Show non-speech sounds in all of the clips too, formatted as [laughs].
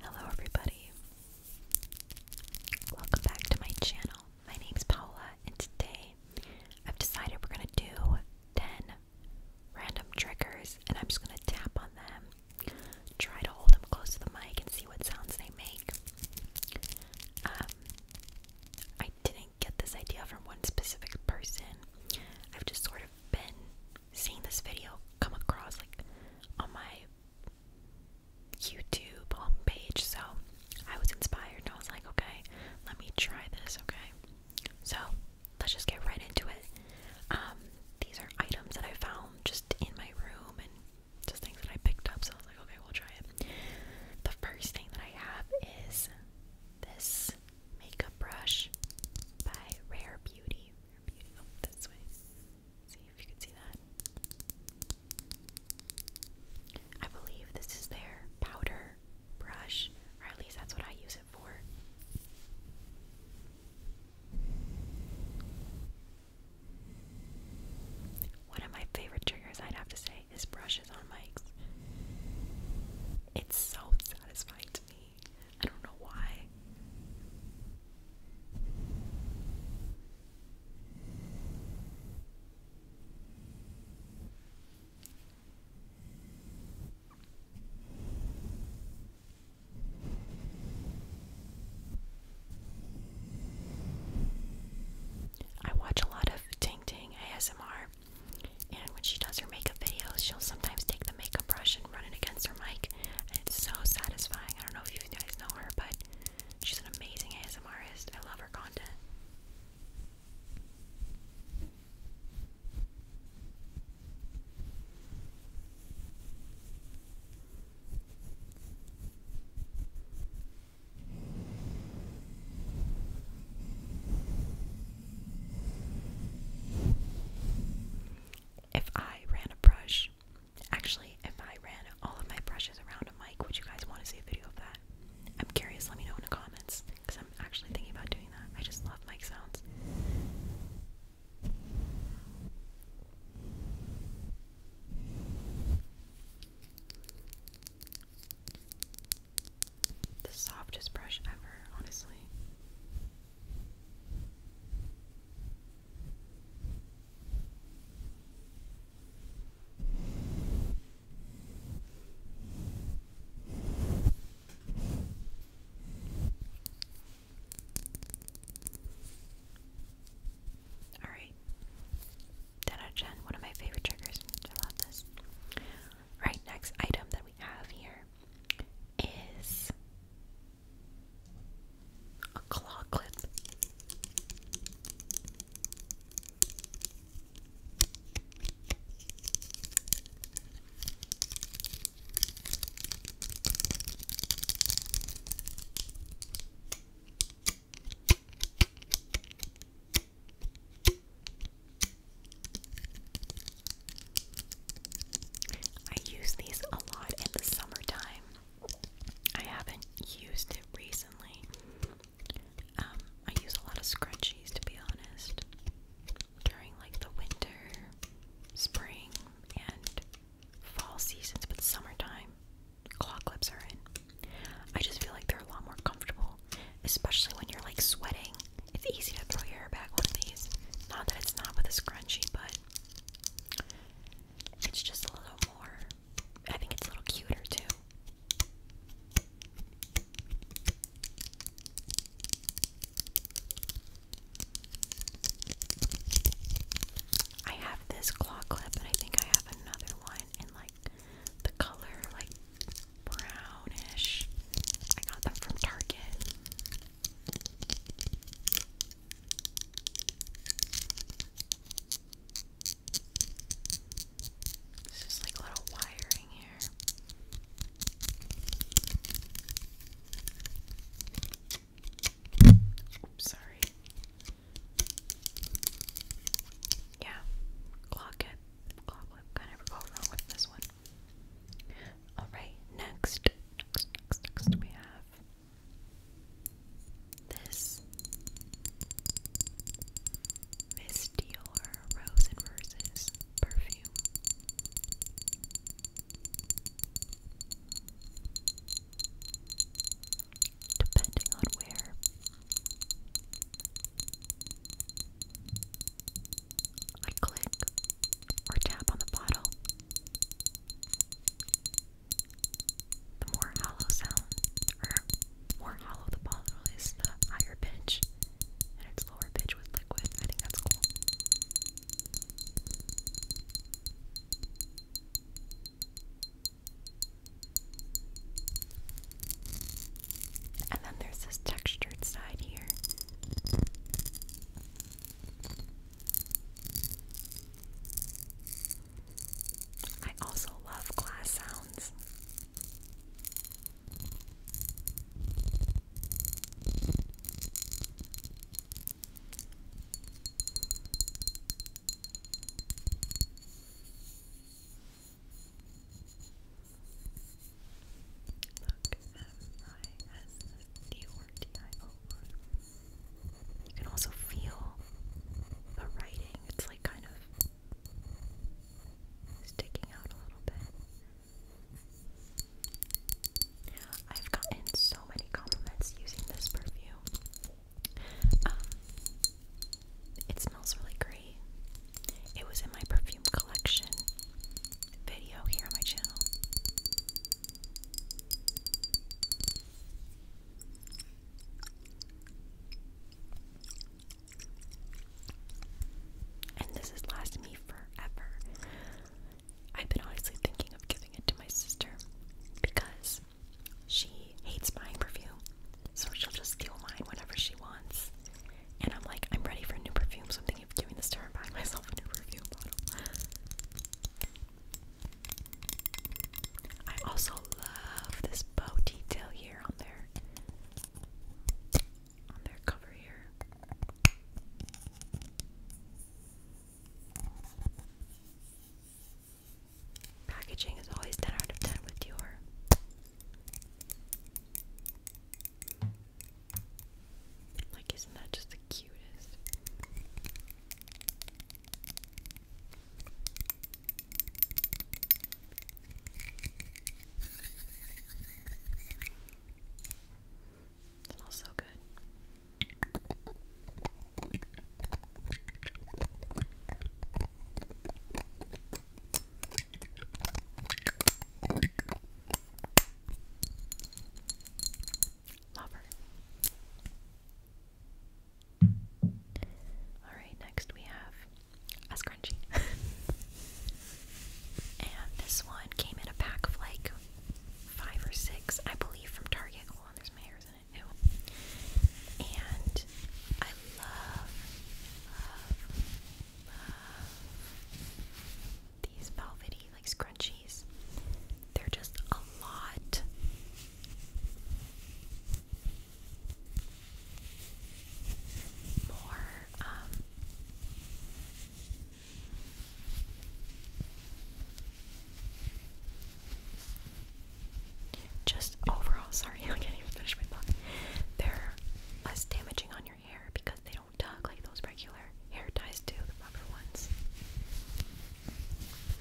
Hello, everybody. Welcome back to my channel. My name's Paula, and today I've decided we're going to do 10 random triggers, and I'm just going to tap on them, try to hold them close to the mic, and see what sounds they make. Um, I didn't get this idea from one specific person, I've just sort of been seeing this video come across like on my YouTube homepage, um, so I was inspired and I was like, okay, let me try this, okay? So let's just get right into it. Um, these are items that I found just in my room and just things that I picked up, so I was like, okay, we'll try it. The first thing that I have is this makeup brush by Rare Beauty this way. See if you can see that. I believe this is their powder brush, or at least that's what I use it for. One of my favorite triggers, I'd have to say, is brushes on mics. It's so satisfying to me. I don't know why. I watch a lot of Ting Ting ASMR, and when she does her makeup videos, she'll sometimes take the makeup brush and running against her mic, and it's so satisfying. I don't know if you guys know her, but she's an amazing ASMRist. I love her content if I ran a brush, actually, if I ran all of my brushes around a mic, would you guys want to see a video of that? I'm curious, let me know in the comments because I'm actually thinking about doing that. I just love mic sounds. The softest brush ever, honestly. Alright. 10 out one of my favorite triggers. I love this. Right, next item that we have here is a claw clip. I use these a lot in the summertime. I haven't used it recently. Um, I use a lot of scrunchies to be honest. During like the winter, spring, and fall seasons, but summertime, claw clips are in. I just feel like they're a lot more comfortable, especially when you're like sweating. It's easy to throw your hair back with these. Not that it's not with a scrunch but it's just a little more. I think it's a little cuter too. I have this claw clip, and I think I have another one in like the color like brownish. I got that from Target. It's just like little wiring here. Oops, sorry. Yeah, clock it. Clock whip. Can never go wrong with this one. Alright, next, next, next, we have this Miss Roses perfume. Depending on where I click or tap on the bottle, the more hollow sound, or more hollow the bottle is, the higher pitch, and it's lower pitch with liquid. I think that's cool. And then there's this textured side here. I also love glass sounds. Look you can also feel the writing. It's like kind of sticking out a little bit. I've gotten so many compliments using this perfume. Um, it smells really great. It was in my perfume collection video here on my channel. And this has lasted me forever. I've been honestly thinking of giving it to my sister because she hates buying perfume, so she'll just steal mine whenever she wants. And I'm like, I'm ready for new perfume something thinking of doing this to her and buying myself new review bottle. I also love this bow detail here on their on their cover here. Packaging is always 10 out of 10 with Dior. Like, isn't that just the cutest? smells so good. Lover. Alright, next we have a scrunchie. [laughs] and this one came in a pack of like five or six, I believe, from Target. Hold there's my hairs in it. Ew. And I love, love, love these velvety like scrunchies. They're just a lot. More um just overall sorry, [laughs] I can't even finish my thought. They're less damaging on your hair because they don't don't tuck like those regular hair ties do, the rubber ones.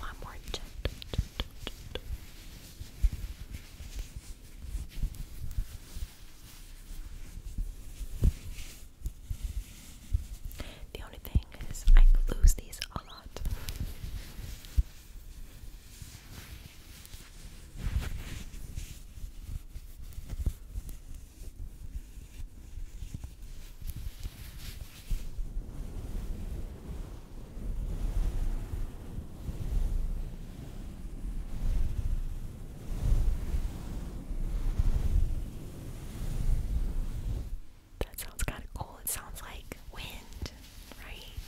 A more gentle. The only thing is, I lose these a lot. That sounds kind of cool. It sounds like wind, right?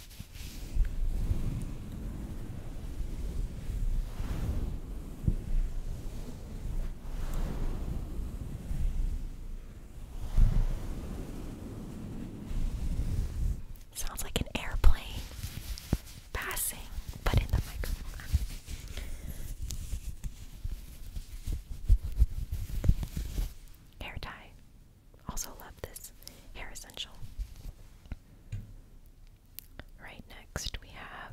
Sounds like an airplane passing, but in the microphone. Hair tie. Also love this hair essential. Right next we have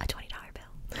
a $20 bill.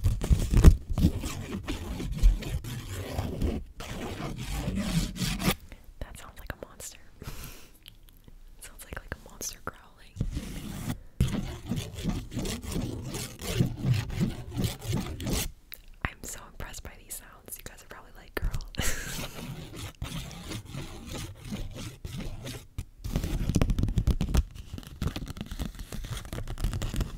That sounds like a monster. sounds like like a monster growling. I'm so impressed by these sounds. You guys are probably like, girls. [laughs]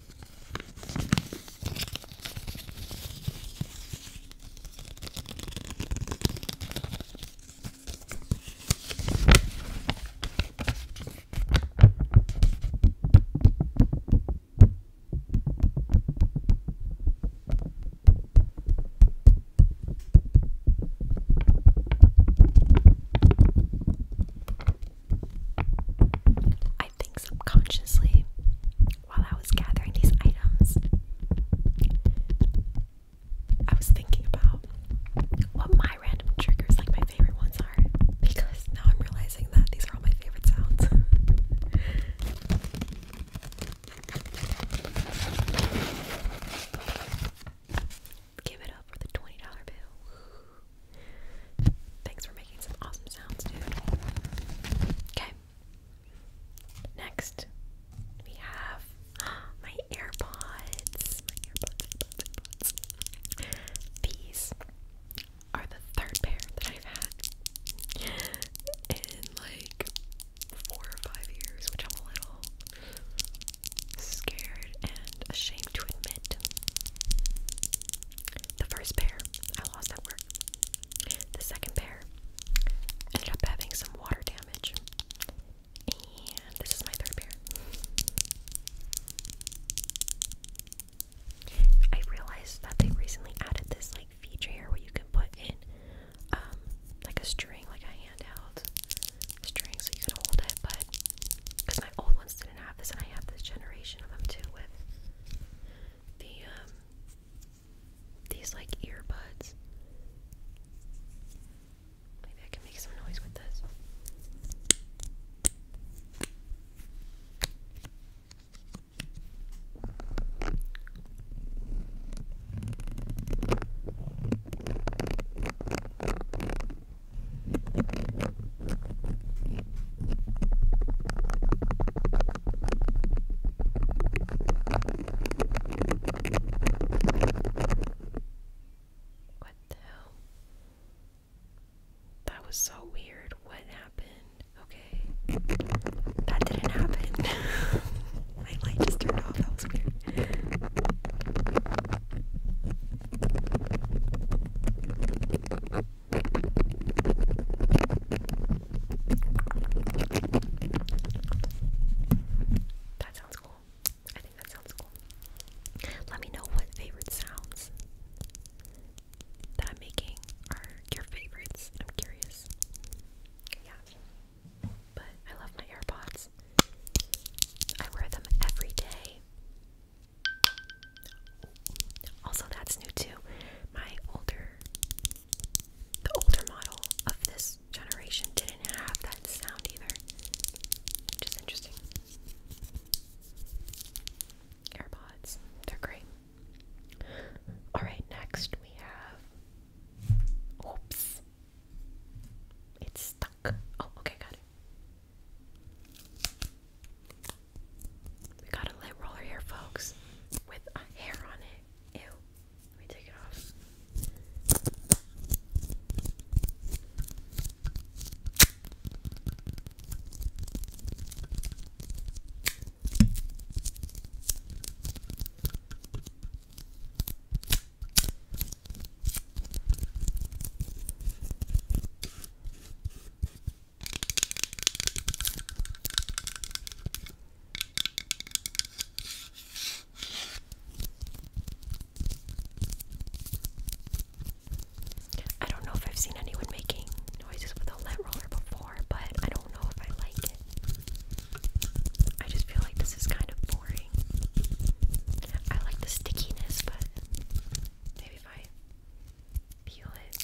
I think subconsciously while I was gathering these items, I was thinking about what my random triggers, like my favorite ones, are because now I'm realizing that these are all my favorite sounds. [laughs] Give it up for the $20 bill. Thanks for making some awesome sounds, dude. Okay, Next, we have [gasps] my AirPods. These are the third pair that I've had in like four or five years, which I'm a little scared and ashamed to admit. The first pair I lost at work. The second pair ended up having some water damage. And this is my third pair. I realized that they recently added this like feature here where you can put in um like a string, like a handout string so you can hold it, but because my old ones didn't have this and I have this generation of them too with the um, these like earbuds. Maybe I can make some noise with this. What the hell? That was so weird. What happened? Okay. That didn't happen. [laughs] My light just turned off. That was weird. That sounds cool. I think that sounds cool. Let me know what favorite sounds that I'm making are your favorites. I'm curious. Yeah. But I love my AirPods. I wear them every day. Also, that's new too. My older, the older model of this generation didn't have that sound either, which is interesting. AirPods, they're great. Alright, next we have. Oops. It's stuck. Oh, okay, got it. We got a lint roller here, folks, with a hair on it. Ew. Let me take it off. I don't know if I've seen anyone making noises with a lint roller before, but I don't know if I like it. I just feel like this is kind of boring. I like the stickiness, but maybe if I peel it.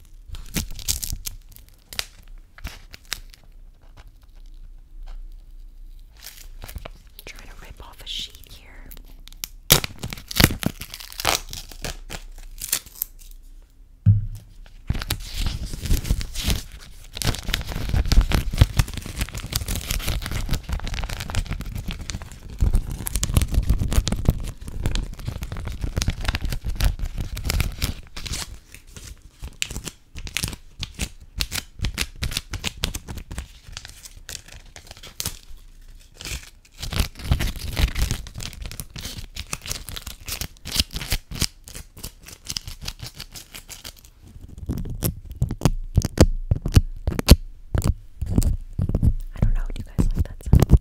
I'm trying to rip off a sheet here. I don't know, do you guys like that sound?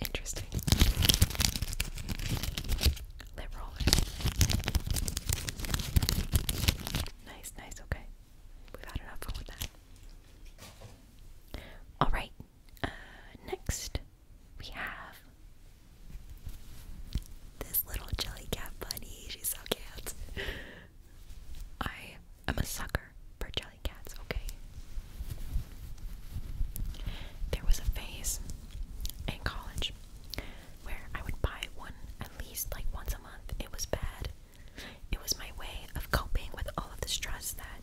Interesting. Lip roller. Nice, nice, okay. We've had enough fun with that. Alright, uh, next we have this little jelly cat bunny. She's so cute. I am a sucker for jelly cats, okay? There was a phase in college where I would buy one at least like once a month. It was bad. It was my way of coping with all of the stress that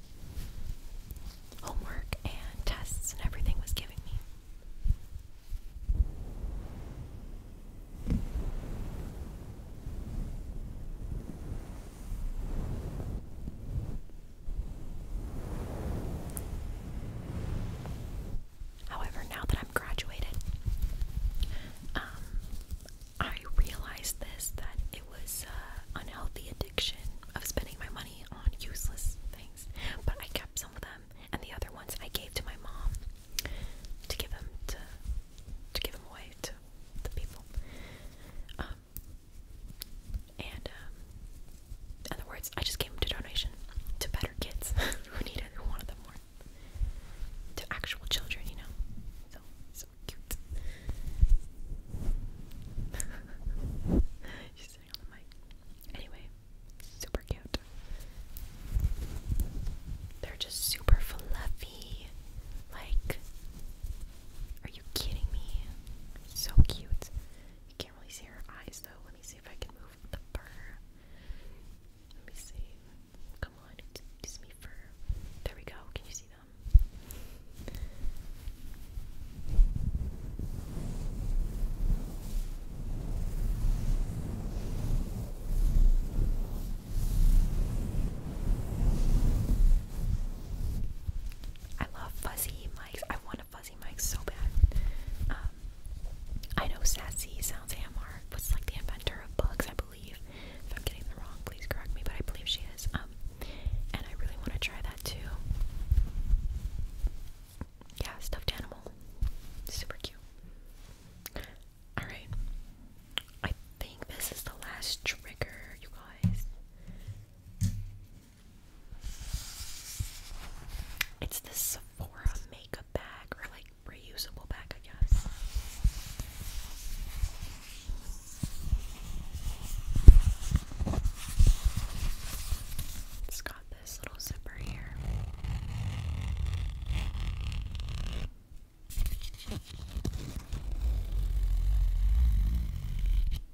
homework and tests and everything was giving me. However, now that I'm graduated, um, I realized this that it was uh, unhealthy addiction of spending my money on useless things. But I kept some of them, and the other ones I gave to my mom to give them to to give them away to the people. Um, and um, other words, I just gave them to donation to better kids [laughs] who needed, who wanted them more, to actual children, you know. So so cute. [laughs] Anyway, super cute. They're just super fluffy. Like, are you kidding me? So cute. You can't really see her eyes though. Let me see if I can move the fur. Let me see. Come on, it's me fur. There we go. Can you see them? I love fuzzy mics. I want a fuzzy mic so bad. Um, I know sassy sounds AMR was like the inventor of bugs, I believe. If I'm getting the wrong, please correct me, but I believe she is. Um, and I really want to try that too. Yeah, stuffed animal. Super cute. Alright. I think this is the last trigger, you guys. It's the Sephora makeup bag or like reusable bag, I guess. It's got this little zipper here.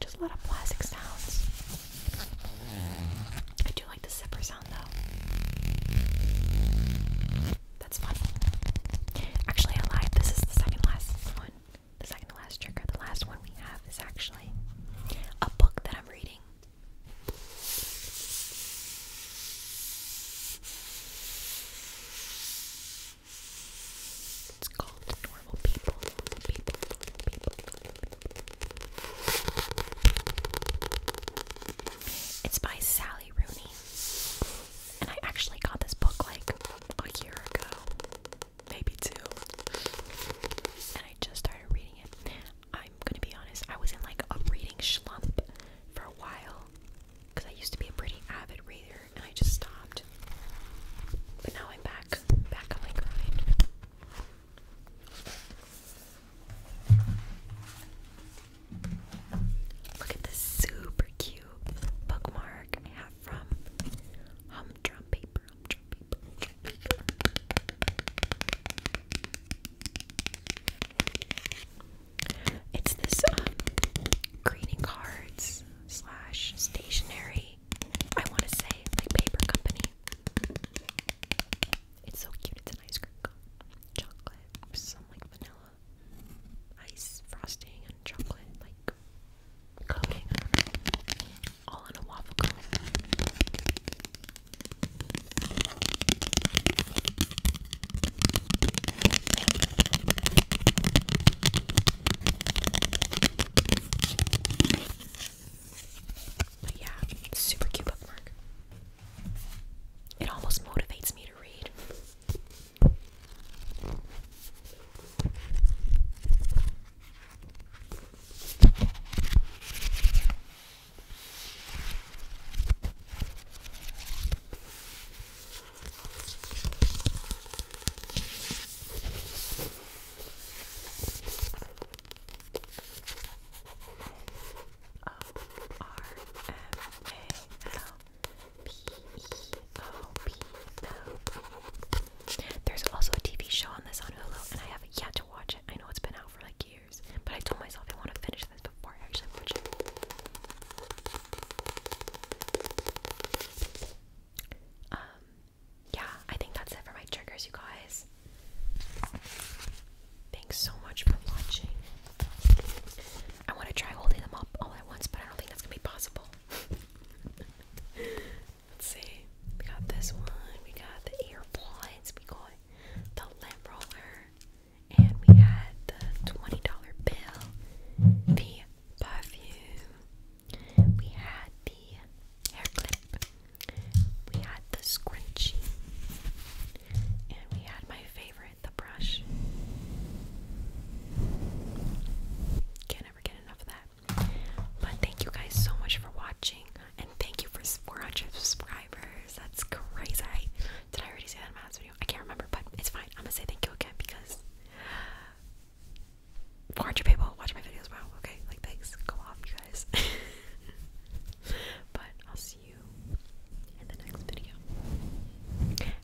Just a lot of plastic sounds. I do like the zipper sound though. That's fun. Actually, I lied. This is the second last one. The second last trigger. The last one we have is actually a book that I'm reading. It's called Normal People. It's by Sally Rooney. And I actually got this book like a year ago. Maybe two. And I just started reading it. I'm gonna be honest, I was in like a reading slump for a while. Because I used to be a pretty avid reader, I just stopped. But now I'm back, back on my grind. Look at this super cute bookmark I have from Humdrum Paper. It's this um, greeting cards slash stationery I want to say like paper company. It's so cute. It's an ice cream cone, chocolate, some like vanilla, ice frosting, and chocolate like coating. All in a waffle cone. But yeah, super cute bookmark. It almost motivates me to read. There's also a TV show on this on Hulu, and I haven't yet to watch it. I know it's been out for like years, but I told myself I want to finish this before I actually watch it. Um, yeah, I think that's it for my triggers, you guys. Thanks so much for watching. I want to try holding them up all at once, but I don't think that's going to be possible. [laughs] Let's see. We got this one, we got the earplugs, we got the lint roller, and we had the $20 bill, the perfume, we had the hair clip, we had the scrunchie, and we had my favorite, the brush. Can't ever get enough of that. But thank you guys so much for watching, and thank you for 400 subscribers. That's crazy. Did I already say that in my last video? I can't remember, but it's fine. I'm gonna say thank you again because 400 people watch my videos. Wow, okay, like thanks. Go off, you guys. [laughs] but I'll see you in the next video.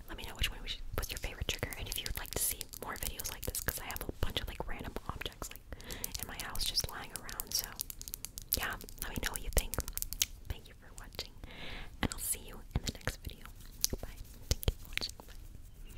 Let me know which one was your favorite trigger, and if you'd like to see more videos like this, because I have a bunch of like random objects like in my house just lying around. So yeah, let me know what you think. Thank you for watching, and I'll see you in the next video. Bye. Thank you for watching.